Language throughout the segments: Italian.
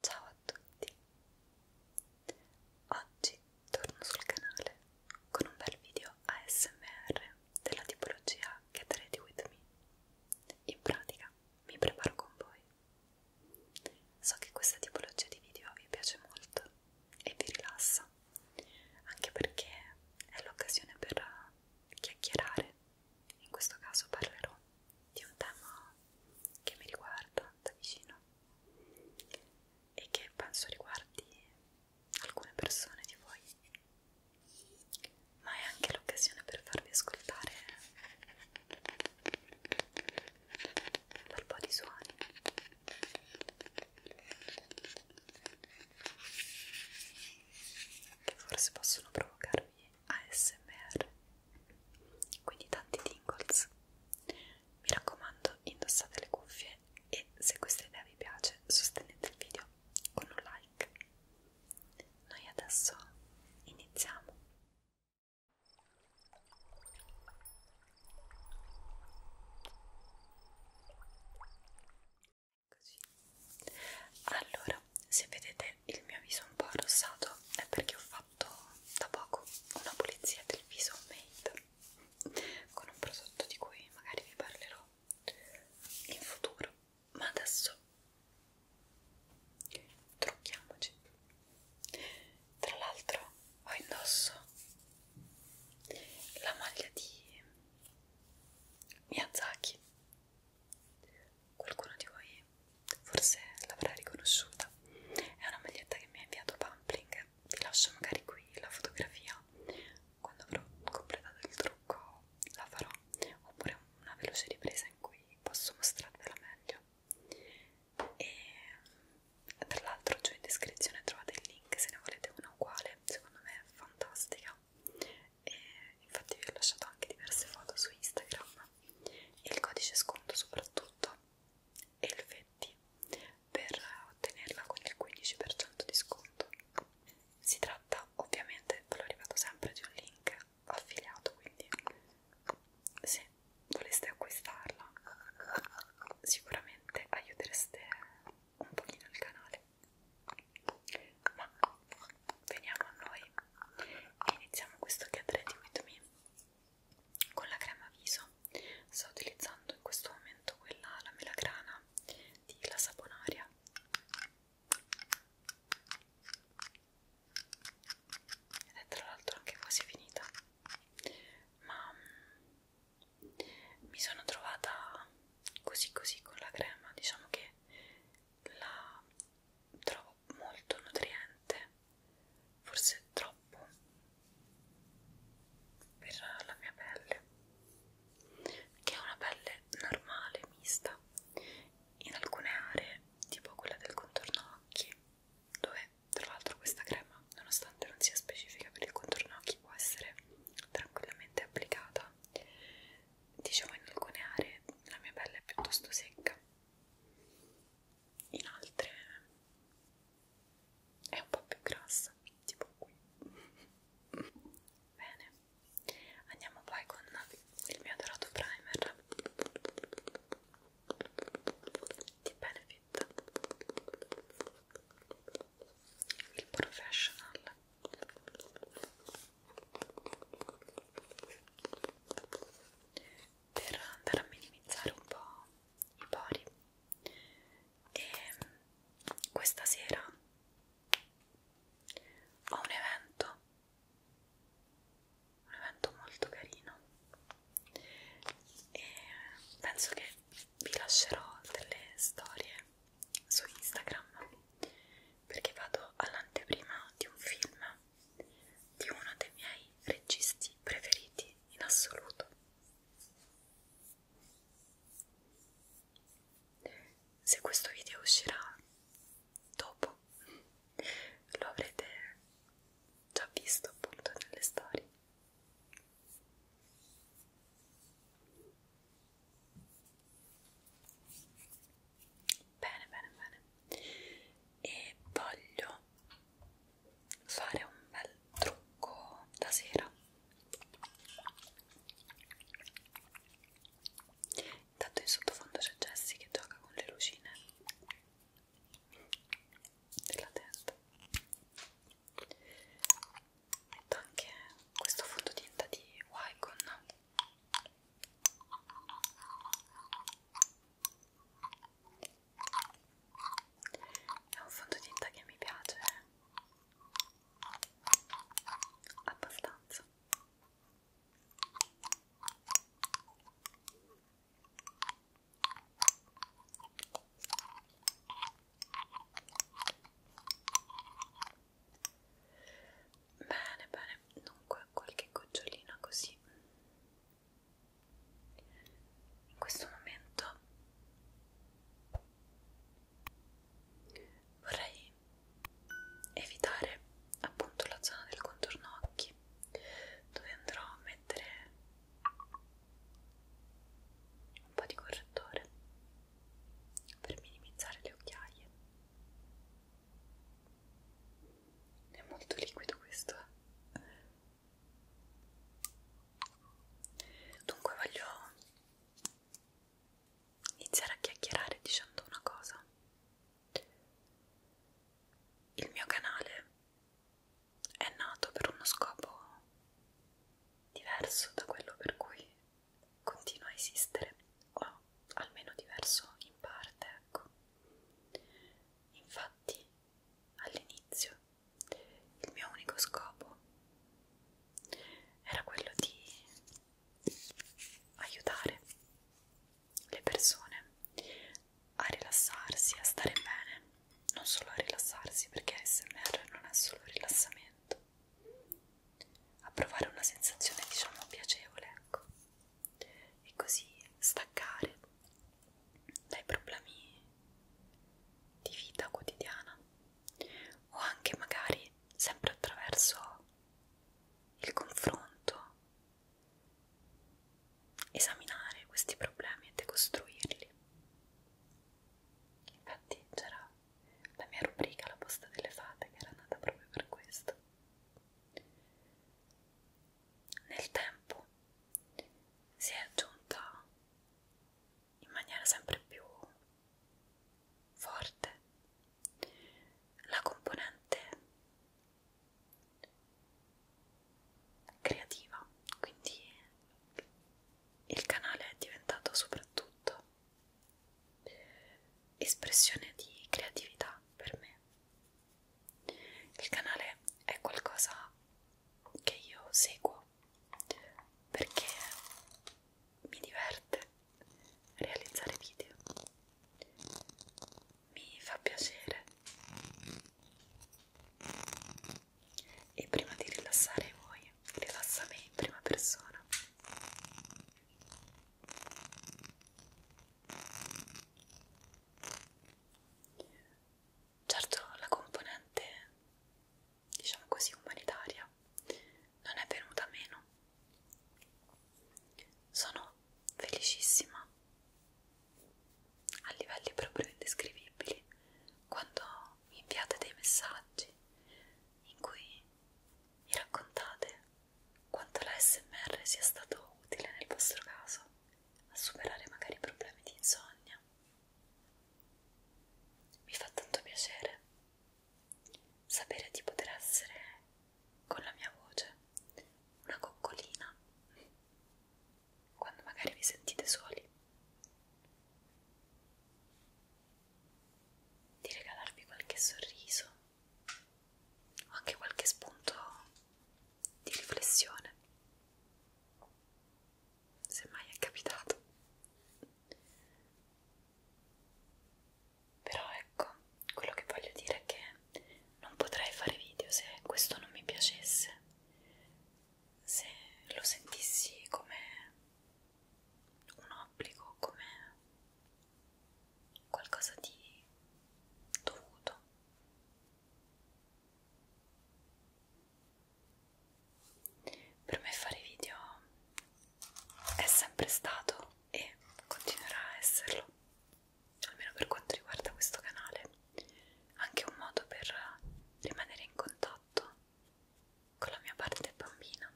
Ciao a tutti! Oggi torno sul canale con un bel video ASMR della tipologia Get Ready With Me. In pratica mi preparo con voi. So che questa tipologia di video vi piace molto e vi rilassa, anche perché è l'occasione per chiacchierare. In questo caso parlerò di un tema che mi riguarda da vicino e che penso riguardi alcune persone di voi, ma è anche l'occasione per farvi ascoltare un po' di suoni. Che forse possono provocarvi ASMR quindi tanti tingles mi raccomando indossate le cuffie e se questa idea vi piace sostenete il video con un like noi adesso iniziamo Eccoci. allora Ora, se vedete il mio viso un po' arrossato è perché ho fatto da poco una pulizia del viso made con un prodotto di cui magari vi parlerò in futuro, ma adesso trucchiamoci. Tra l'altro ho indosso la maglia di Miyazaki qualcuno di voi forse l'avrà riconosciuta è una maglietta che mi ha inviato Pampling vi lascio magari qui la fotografia quando avrò completato il trucco la farò oppure una veloce ripresa in cui posso mostrarvela meglio e tra l'altro giù in descrizione trovate il link se ne volete una uguale secondo me è fantastica e infatti vi ho lasciato anche diverse foto su Instagram e il codice sconto soprattutto Elfetti per ottenerla con il 15% di sconto. Si tratta ovviamente, ve lo ripeto sempre, di un link affiliato, quindi se voleste acquistarla sicuramente aiutereste un pochino il canale. Ma veniamo a noi e iniziamo questo Get Ready With Me con la crema viso sto utilizzando in questo momento quella la melagrana di la saponaria ed è tra l'altro anche quasi finita ma mm, mi sono trovata così così con la crema diciamo che la trovo trovo molto nutriente, forse troppo per la mia pelle, che è una pelle normale, mista. In alcune aree, tipo quella del contorno occhi, dove tra l'altro questa crema, nonostante non sia specifica per il contorno occhi, può essere tranquillamente applicata. Diciamo in alcune aree la mia pelle è piuttosto secca in altre è un po' più grassa, tipo qui. Bene, andiamo poi con il mio dorato primer di Benefit, il Professional per andare a minimizzare un po' i pori e questa sera ho un evento un evento molto carino e penso che vi lascerò delle storie su Instagram perché vado all'anteprima di un film di uno dei miei registi preferiti in assoluto. Se questo video uscirà dopo, lo avrete già visto appunto nelle storie bene bene bene e voglio fare un bel trucco da sera intanto in sottofondo c'è Jessie che gioca con le lucine della testa metto anche questo fondotinta di Wycon è un fondotinta che mi piace eh. abbastanza Bene, bene, dunque qualche gocciolina così in questo momento vorrei evitare appunto la zona del contorno occhi dove andrò a mettere un po' di correttore per minimizzare le occhiaie è molto liquido questo. Eh? Dunque voglio iniziare a chiacchierare dicendo una cosa. Il mio canale è nato per uno scopo diverso da quello per cui continua a esistere, o almeno diverso in parte, ecco. Infatti infatti, all'inizio, il mio unico scopo era quello di aiutare le persone a rilassarsi, a stare bene, non solo a rilassarsi perché ASMR non è solo rilassamento, a provare una sensazione diciamo piacevole, ecco e così staccare dai problemi di vita quotidiana o anche magari sempre attraverso il confronto esaminare questi problemi e decostruirli infatti c'era la mia rubrica la posta delle fate che era nata proprio per questo nel tempo si è aggiunta in maniera sempre più forte la componente creativa, quindi il canale è diventato soprattutto espressione di creatività per me il canale è qualcosa che io seguo perché mi diverte realizzare video, mi fa piacere e prima di rilassare voi, rilassa me in prima persona. Certo la componente, diciamo così, umanitaria non è venuta meno. Sono felicissima a livelli proprio indescrivibili quando mi inviate dei messaggi in cui mi raccontate quanto la SMR sia stato utile nel vostro caso a superare magari problemi di insonnia. Mi fa tanto piacere sapere di poter essere con la mia voce una coccolina quando magari vi sentite soli, di regalarvi qualche sorriso o anche qualche spunto di riflessione se mai è capitato però ecco quello che voglio dire è che non potrei fare video se questo non mi piacesse se lo sentissi come un obbligo come qualcosa di dovuto per me fare video è sempre stato e continuerà a esserlo, almeno per quanto riguarda questo canale, anche un modo per rimanere in contatto con la mia parte bambina.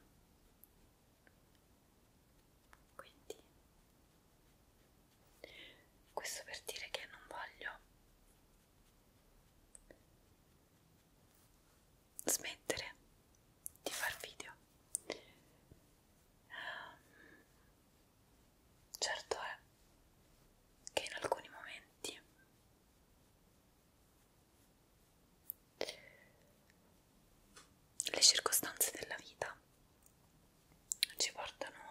Quindi questo per dire che non voglio smettere di far video ehm, certo è che in alcuni momenti le circostanze della vita ci portano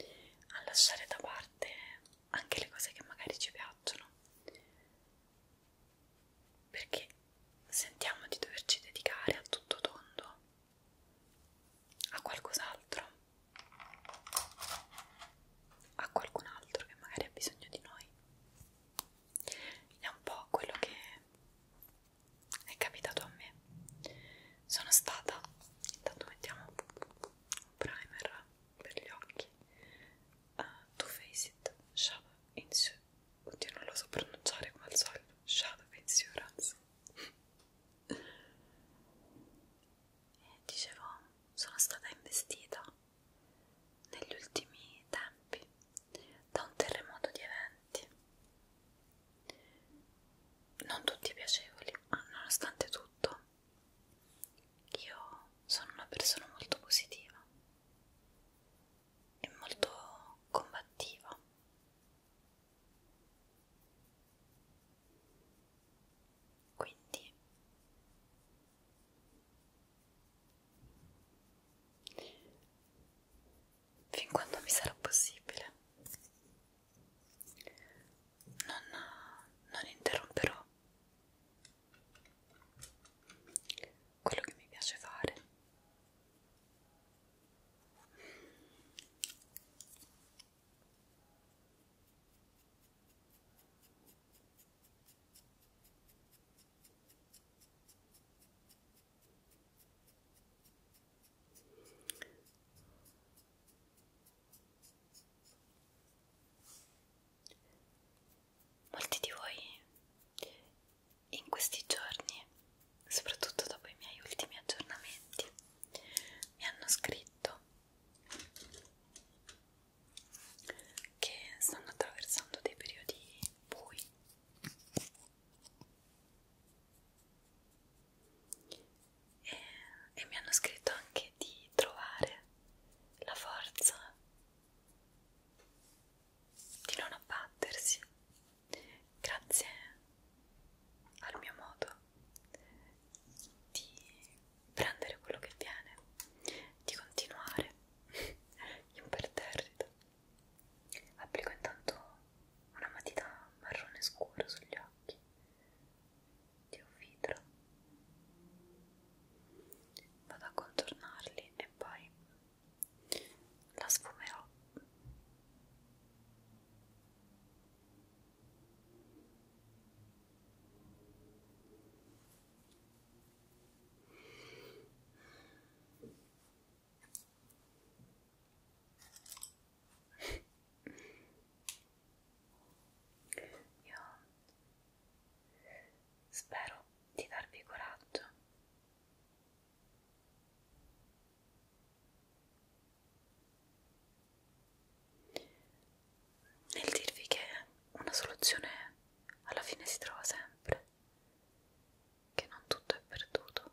a lasciare da parte anche le cose che magari ci piacciono perché sentiamo di doverci dedicare a tutto tondo a qualcos'altro a qualcun altro che magari ha bisogno di noi è un po' quello che è capitato a me sono stata intanto mettiamo un primer per gli occhi uh, Too Faced Shadow Insurance oddio non lo so pronunciare come al solito Shadow Insurance e dicevo sono stata investita negli ultimi tempi da un terremoto di eventi non tutti piacevoli, ma nonostante tutto io sono una persona molto positiva e molto combattiva. Quindi fin quando mi sarà possibile non, non interromperò quello che mi piace fare Molti di voi in questi giorni, soprattutto dopo i miei ultimi aggiornamenti, mi hanno scritto che stanno attraversando dei periodi bui e, e mi hanno scritto anche di trovare la forza di non abbattersi grazie al mio modo di prendere quello che viene di continuare imperterrito applico intanto una matita marrone scuro sugli occhi di un vitro vado a contornarli e poi la sfumerò io spero di darvi coraggio. Nel dirvi che una soluzione alla fine si trova sempre, che non tutto è perduto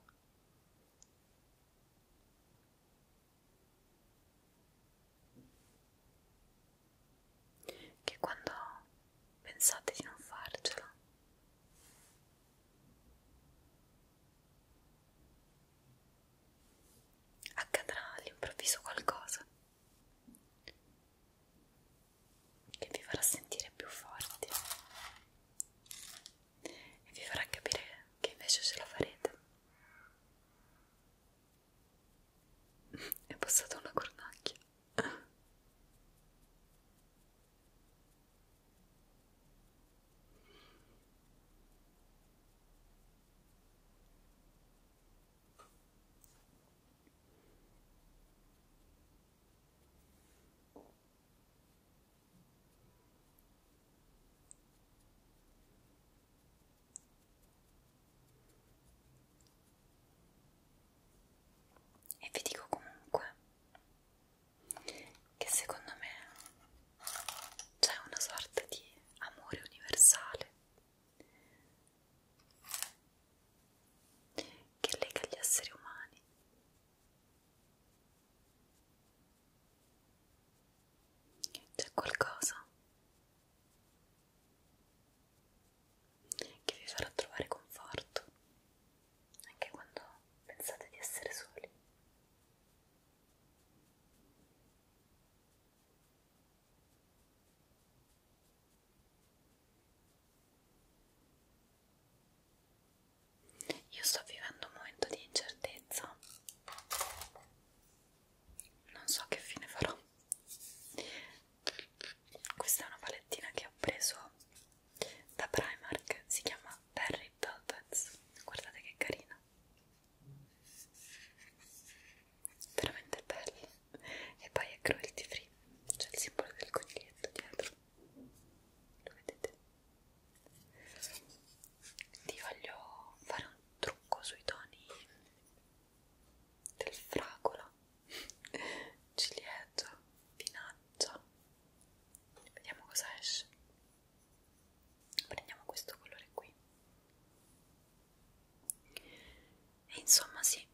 che quando pensate di non farcela accadrà all'improvviso qualcosa che vi farà sentire più forti e vi farà capire che invece ce la farete. È passata una cornacchia. E vi dico comunque che secondo me c'è una sorta di amore universale che lega gli esseri umani c'è qualcosa che vi farà trovare conforto anche quando pensate di essere soli. Io sto vivendo un momento di incertezza, non so che fine farò. Questa è una palettina che ho preso da Primark, si chiama Berry Velvets. Guardate che carina, veramente bella. E poi è cruelty free, c'è il simbolo del coniglietto dietro. Lo vedete? ti voglio fare un trucco sui toni del fragola, ciliegia, vinaccia vediamo cosa esce prendiamo questo colore qui e insomma sì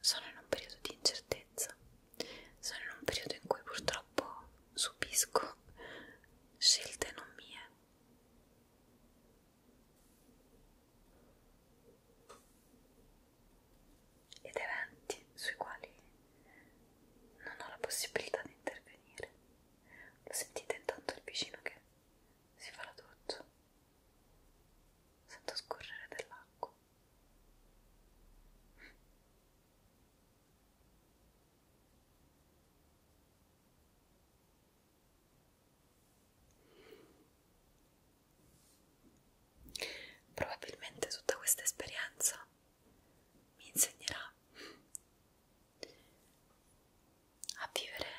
sono in un periodo di incertezza, sono in un periodo in cui purtroppo subisco scelte non mie. Ed eventi sui quali non ho la possibilità di intervenire. Lo sentite intanto il vicino che si fa la doccia. Sento scorrere dell'acqua. Probabilmente tutta questa esperienza mi insegnerà a vivere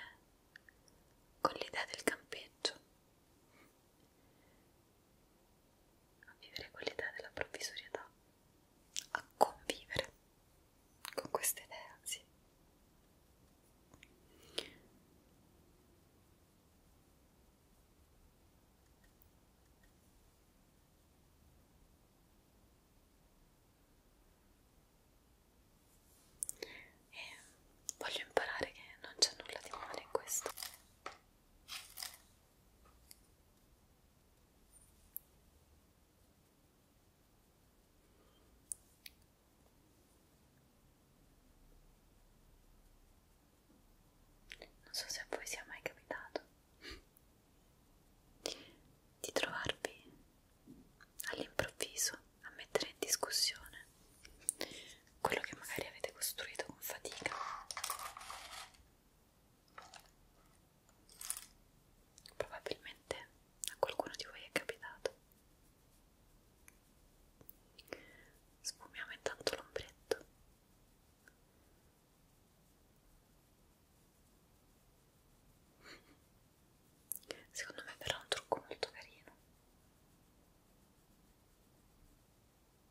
con l'idea del campeggio a vivere quell'idea della provvisorietà, a convivere con questa idea, sì. E voglio imparare che non c'è nulla di male in questo. Non so se a voi sia mai capitato di trovarvi all'improvviso a mettere in discussione quello che magari avete costruito con fatica probabilmente a qualcuno di voi è capitato sfumiamo intanto l'ombretto secondo me verrà un trucco molto carino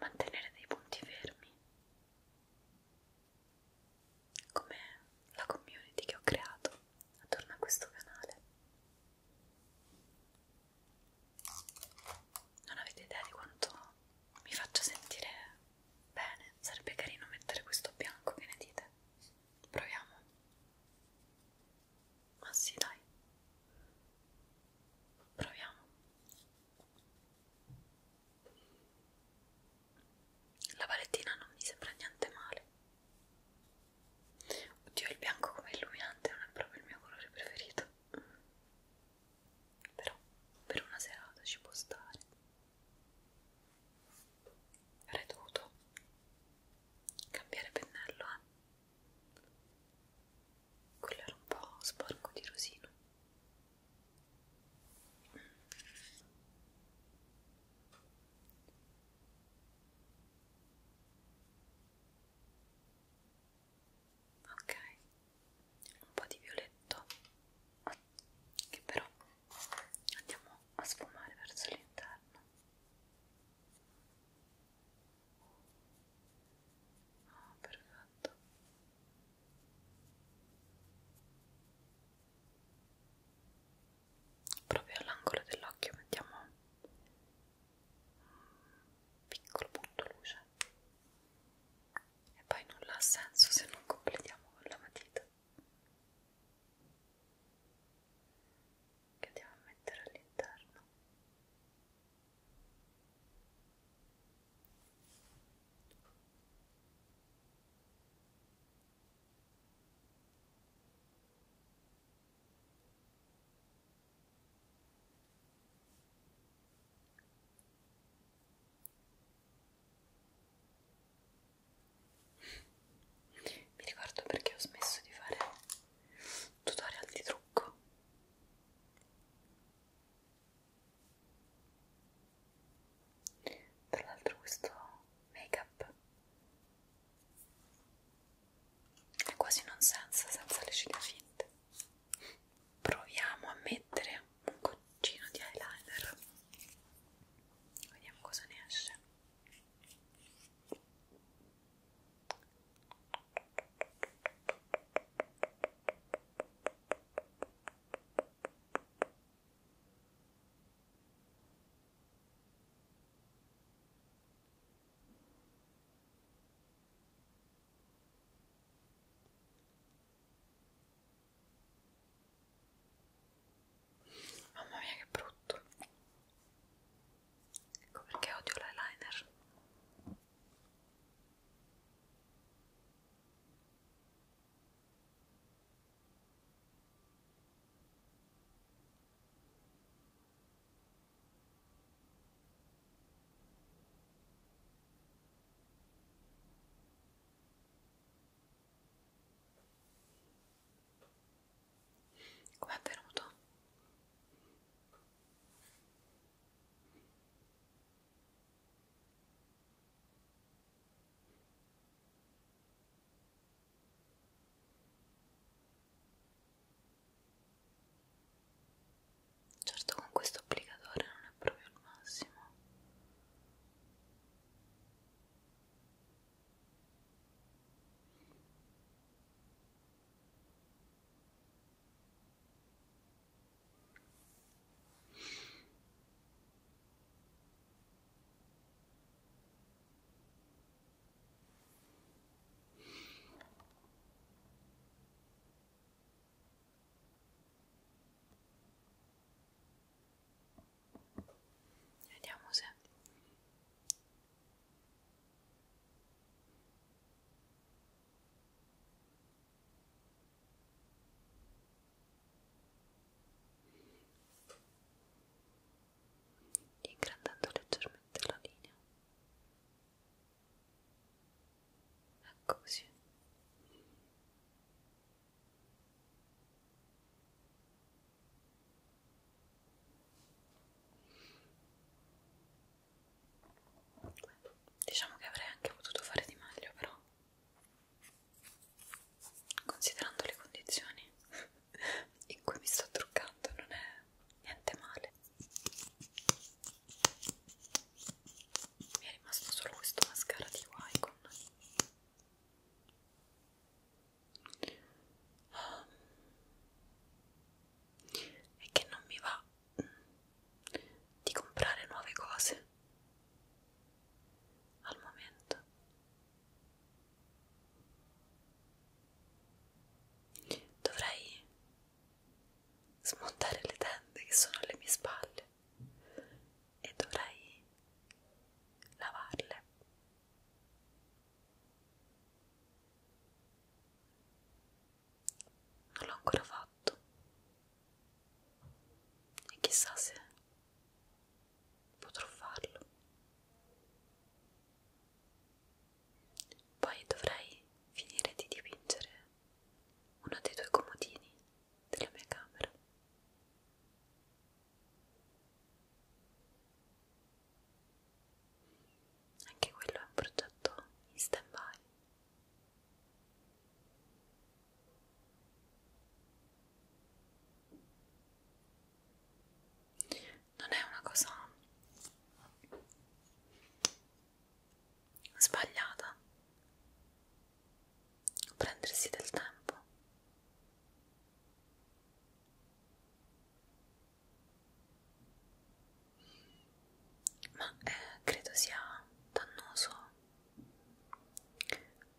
mantenere dei punti fermi come la community che ho creato attorno a questo canale non avete idea di quanto mi faccio sentire bene sarebbe carino mettere questo bianco che ne dite proviamo ma sì dai proviamo la palettina non mi sembra niente male. Oddio, il bianco come illuminante non è proprio il mio colore preferito. Però per una serata ci può stare. Avrei dovuto cambiare pennello, eh? quello era un po' sporco di rosino ok un po' di violetto che però andiamo a sfumare verso l'interno Ah, perfetto. Proprio all'angolo dell'occhio mettiamo un piccolo punto luce e poi nulla ha senso se non completiamo con la matita che andiamo a mettere all'interno mi ricordo perché ho smesso di fare tutorial di trucco tra l'altro questo make-up è quasi non senza, senza le ciglia finte. Proviamo a mettere un goccino di eyeliner. Vediamo cosa ne esce. Mamma mia che brutto ecco perché odio l'eyeliner Come è venuto? Certo con questo applicatore non è proprio il massimo. Vediamo se ingrandendo leggermente la linea ecco così Diciamo che avrei anche potuto fare di meglio, però considerando le condizioni in cui mi sto truccando non è niente male. Mi è rimasto solo questo mascara di Wycon. Ah. E che non mi va di comprare nuove cose al momento dovrei smontare le tende che sono alle mie spalle e dovrei lavarle non l'ho ancora fatto e chissà se potrò farlo poi dovrei finire di dipingere uno dei due comodini della mia camera anche quello è un progetto in stand by non è una cosa sbagliata prendersi del tempo ma eh, credo sia dannoso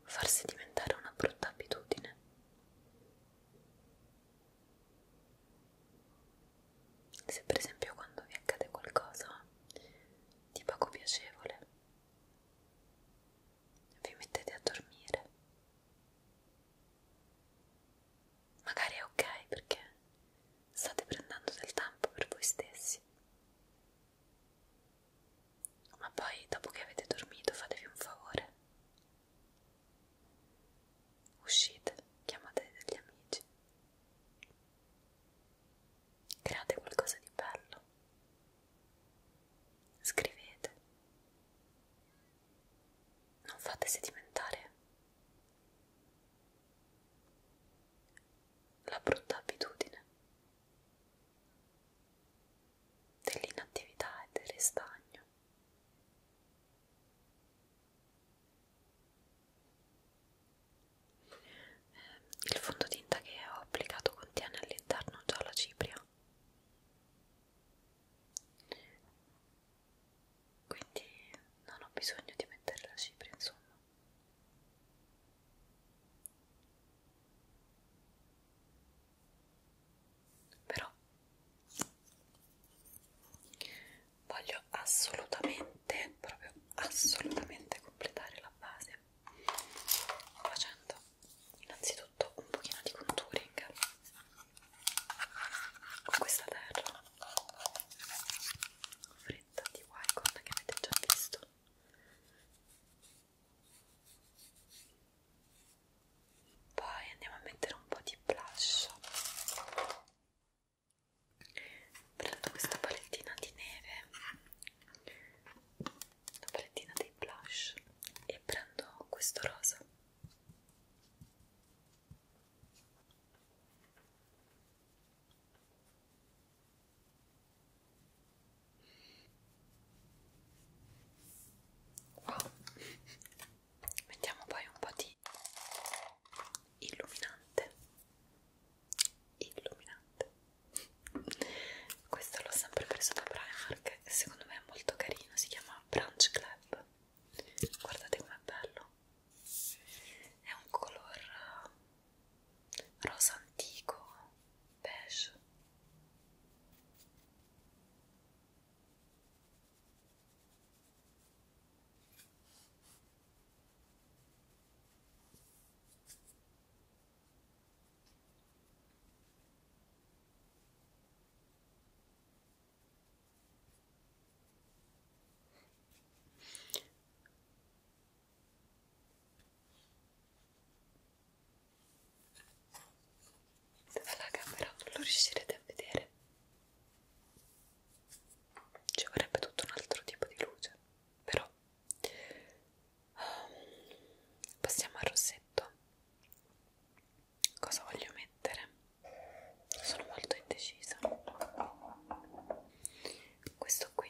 farsi diventare una brutta abitudine. Se per esempio quando vi accade qualcosa di poco piacevole, vi mettete a dormire. Magari è ok perché state prendendo del tempo per voi stessi. Ma poi, dopo che avete dormito, fatevi un favore. Uscite, chiamate degli amici. Create qualcosa di bello. Scrivete. Non fate sedimentare la brutta abitudine dell'inattività e del restagno. Eh, il fondotinta che ho applicato contiene all'interno già la cipria. Quindi non ho bisogno di mettere la cipria, insomma però voglio assolutamente proprio assolutamente completare la base facendo innanzitutto un pochino di contouring con questa terra fredda paletta di Wycon che avete già visto poi andiamo a mettere un po' di blush prendo questa palettina di neve la palettina dei blush e prendo questo rosa Wow. Mettiamo poi un po' di illuminante. Illuminante. Questo l'ho sempre preso da Primark e secondo me è molto carino, si chiama Branch Club. Guardate com'è bello è un color rosa antico beige dalla camera non lo riuscirete a vedere ci vorrebbe tutto un altro tipo di luce però um, passiamo al rossetto cosa voglio mettere sono molto indecisa questo qui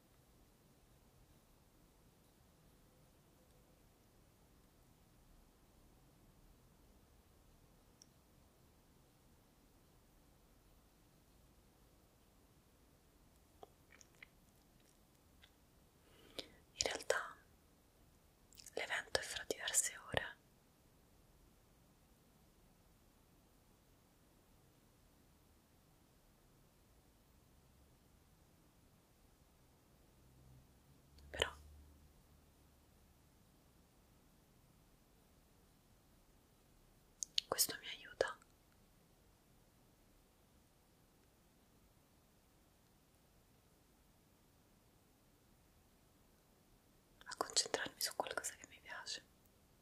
In realtà l'evento è fra diverse ore. Però questo mi aiuta a concentrarmi su qualcosa che mi piace.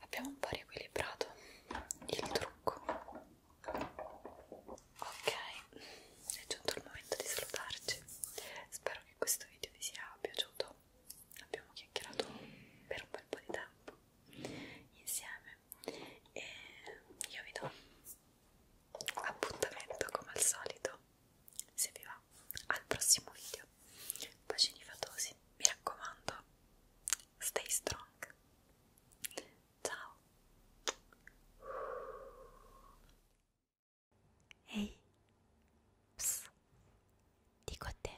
Abbiamo un po' riequilibrato il trucco. Ok, è giunto il momento di salutarci. Spero che questo video vi sia piaciuto. Abbiamo chiacchierato per un bel po' di tempo insieme e io vi do appuntamento come al solito, se vi va, al prossimo video. Bacini fatosi, mi raccomando, stay strong. Ciao. Ehi, Psst. dico a te,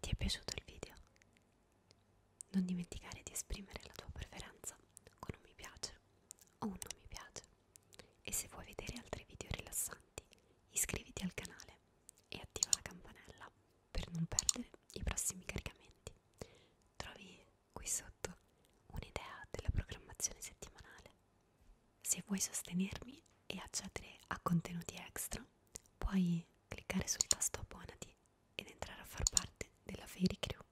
ti è piaciuto il video? Non dimenticare di esprimere la tua preferenza con un mi piace o un non mi piace e se vuoi vedere altri video rilassanti iscriviti al canale e attiva la campanella per non perdere i prossimi caricamenti. Trovi qui sotto un'idea della programmazione settimanale se vuoi sostenermi e accedere a contenuti extra, puoi cliccare sul tasto abbonati ed entrare a far parte della Fairy Crew.